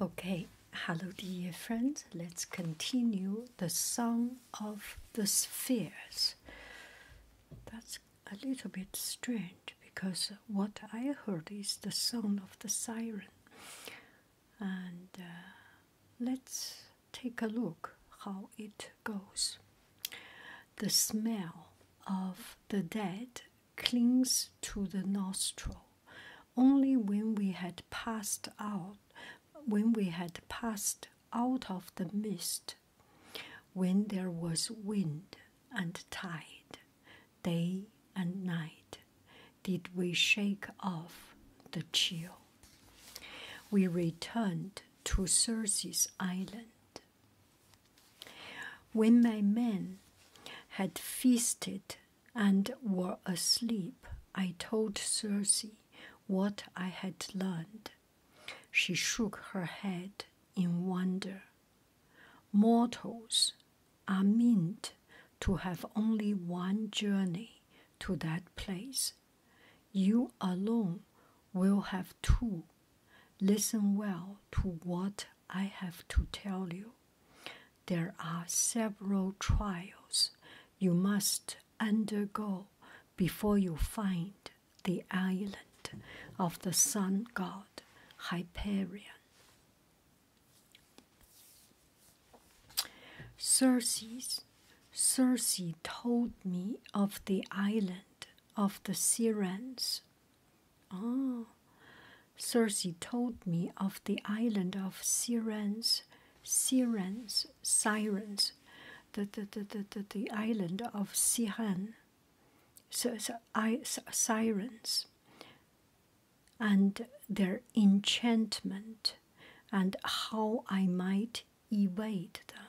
Okay, hello, dear friends. Let's continue the song of the spheres. That's a little bit strange because what I heard is the song of the siren. And uh, let's take a look how it goes. The smell of the dead clings to the nostril. Only when we had passed out, when we had passed out of the mist, when there was wind and tide, day and night, did we shake off the chill. We returned to Circe's island. When my men had feasted and were asleep, I told Circe what I had learned. She shook her head in wonder. Mortals are meant to have only one journey to that place. You alone will have two. Listen well to what I have to tell you. There are several trials you must undergo before you find the island of the sun god Hyperion. Circe, Circe told me of the island of the Sirens Ah, Circe told me of the island of Sirens, Sirens, Sirens, the, the, the, the, the, island of Siren, so, Sirens, and their enchantment, and how I might evade them.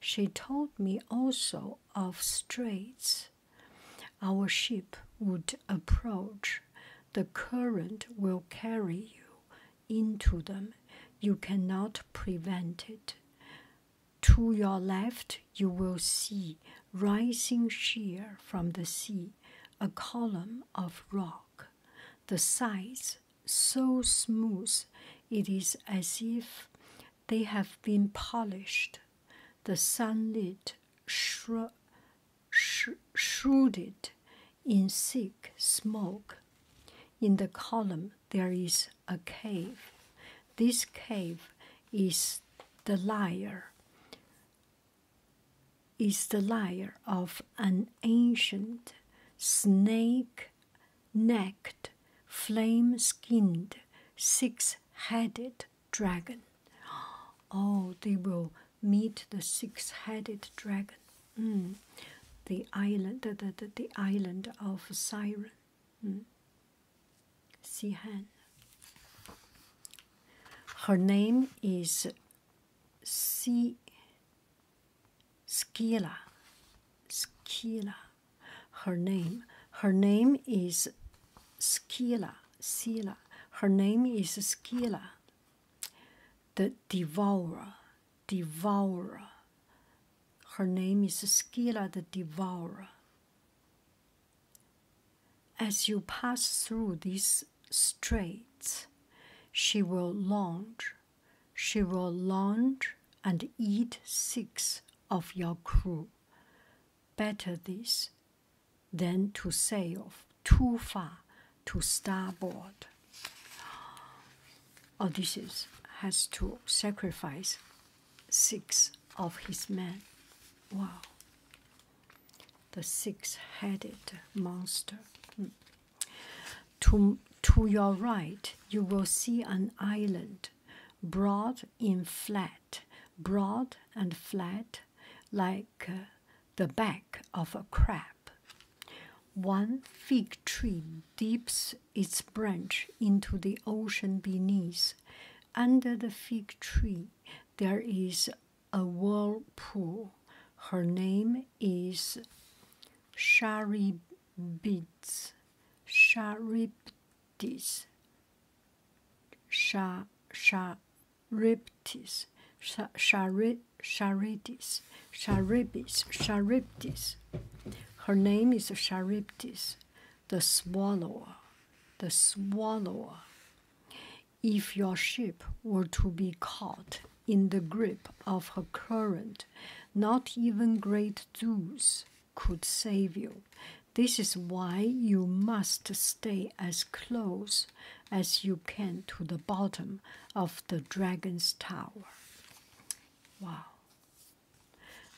She told me also of straits our ship would approach. The current will carry you into them. You cannot prevent it. To your left, you will see rising sheer from the sea a column of rock, the sides so smooth it is as if they have been polished the sunlit shrouded shru in thick smoke. In the column, there is a cave. This cave is the liar. Is the liar of an ancient snake-necked, flame-skinned, six-headed dragon. Oh, they will meet the six-headed dragon. Hmm. The island, the, the, the island of Siren. Hmm. Sihan. Her name is Si Skila. Skila her name. Her name is Skila. Sila. Her name is Skila. The devourer. Devourer. Her name is Skila the Devourer. As you pass through these straits, she will launch, she will launch and eat six of your crew. Better this than to sail too far to starboard. Odysseus has to sacrifice six of his men. Wow. The six headed monster. Hmm. To, to your right, you will see an island broad and flat, broad and flat, like uh, the back of a crab. One fig tree dips its branch into the ocean beneath. Under the fig tree, there is a whirlpool. Her name is Sharibids. Sharib Shariptis. Sha, shariptis. Sha, shari, sharidis. Sharibis. Shariptis. Her name is Shariptis, the swallower. The swallower. If your ship were to be caught in the grip of her current, not even great Zeus could save you. This is why you must stay as close as you can to the bottom of the dragon's tower. Wow.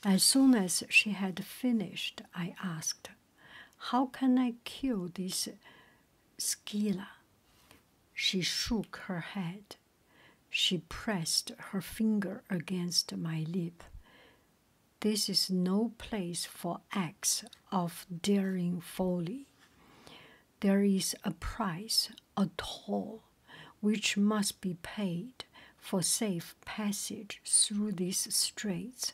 As soon as she had finished, I asked, How can I kill this Skila? She shook her head. She pressed her finger against my lip. This is no place for acts of daring folly. There is a price, a toll, which must be paid for safe passage through these straits.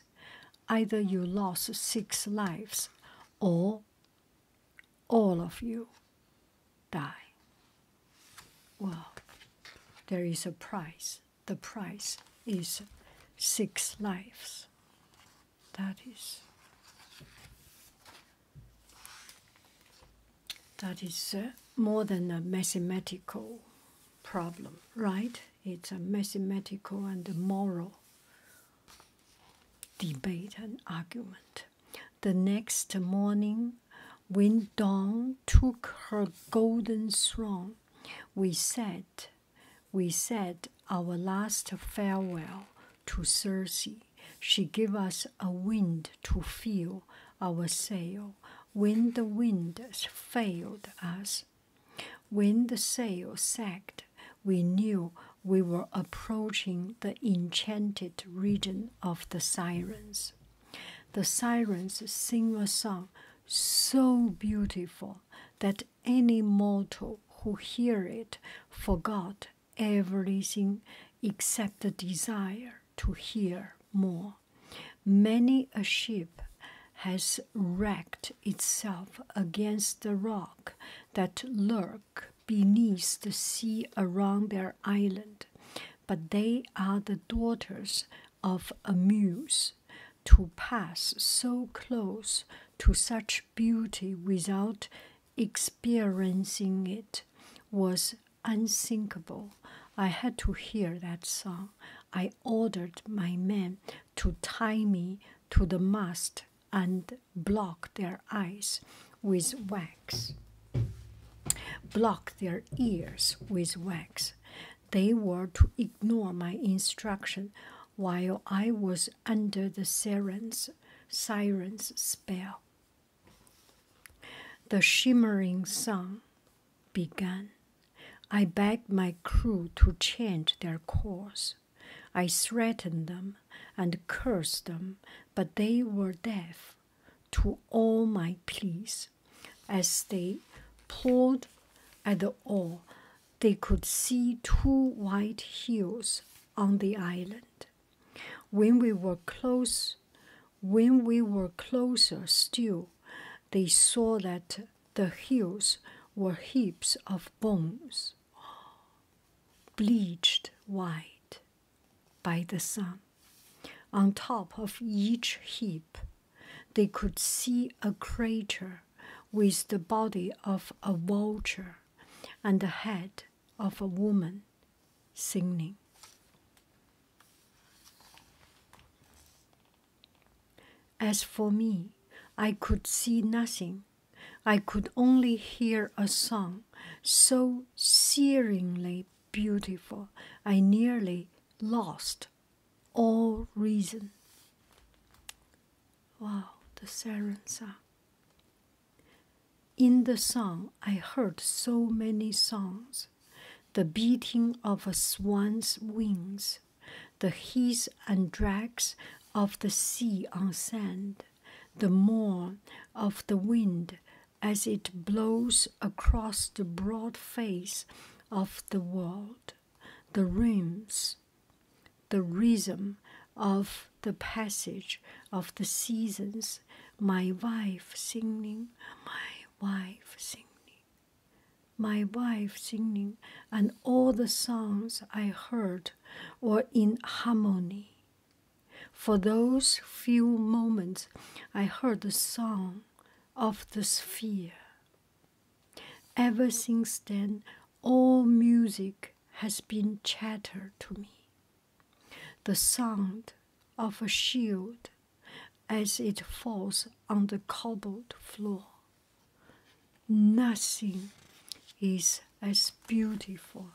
Either you lose six lives or all of you die. Well, there is a price. The price is six lives. That is. That is uh, more than a mathematical problem, right? It's a mathematical and moral debate and argument. The next morning, when dawn took her golden throne, we said, we said our last farewell to Circe. She gave us a wind to fill our sail when the wind failed us. When the sail sagged, we knew we were approaching the enchanted region of the sirens. The sirens sing a song so beautiful that any mortal who hears it forgets everything except the desire to hear more. Many a ship has wrecked itself against the rock that lurks beneath the sea around their island, but they are the daughters of a muse. To pass so close to such beauty without experiencing it was unthinkable. I had to hear that song. I ordered my men to tie me to the mast and block their eyes with wax, block their ears with wax. They were to ignore my instruction while I was under the siren's, spell. The shimmering song began. I begged my crew to change their course. I threatened them and cursed them, but they were deaf to all my pleas. As they pulled at the oar, they could see two white hills on the island. When we were close, when we were closer still, they saw that the hills were heaps of bones, bleached white by the sun. On top of each heap, they could see a crater with the body of a vulture and the head of a woman singing. As for me, I could see nothing. I could only hear a song so searingly beautiful, I nearly lost all reason. Wow, the siren song. In the song, I heard so many songs the beating of a swan's wings, the hiss and drags of the sea on sand, the moan of the wind as it blows across the broad face of the world, the rims, the rhythm of the passage of the seasons, my wife singing, my wife singing, my wife singing, and all the songs I heard were in harmony. For those few moments, I heard the song of the sphere. Ever since then, all music has been chatter to me. The sound of a shield as it falls on the cobbled floor. Nothing is as beautiful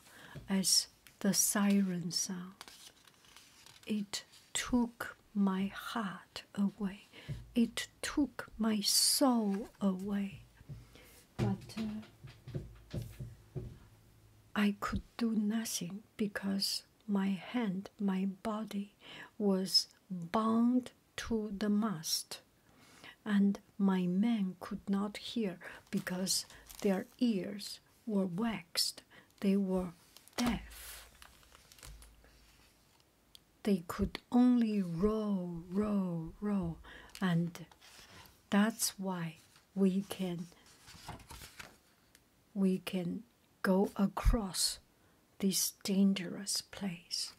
as the siren sound. It took my heart away. It took my soul away. But uh, I could do nothing because my hand, my body was bound to the mast. And my men could not hear because their ears were waxed, they were deaf. They could only row, row, row, and that's why we can we can go across this dangerous place.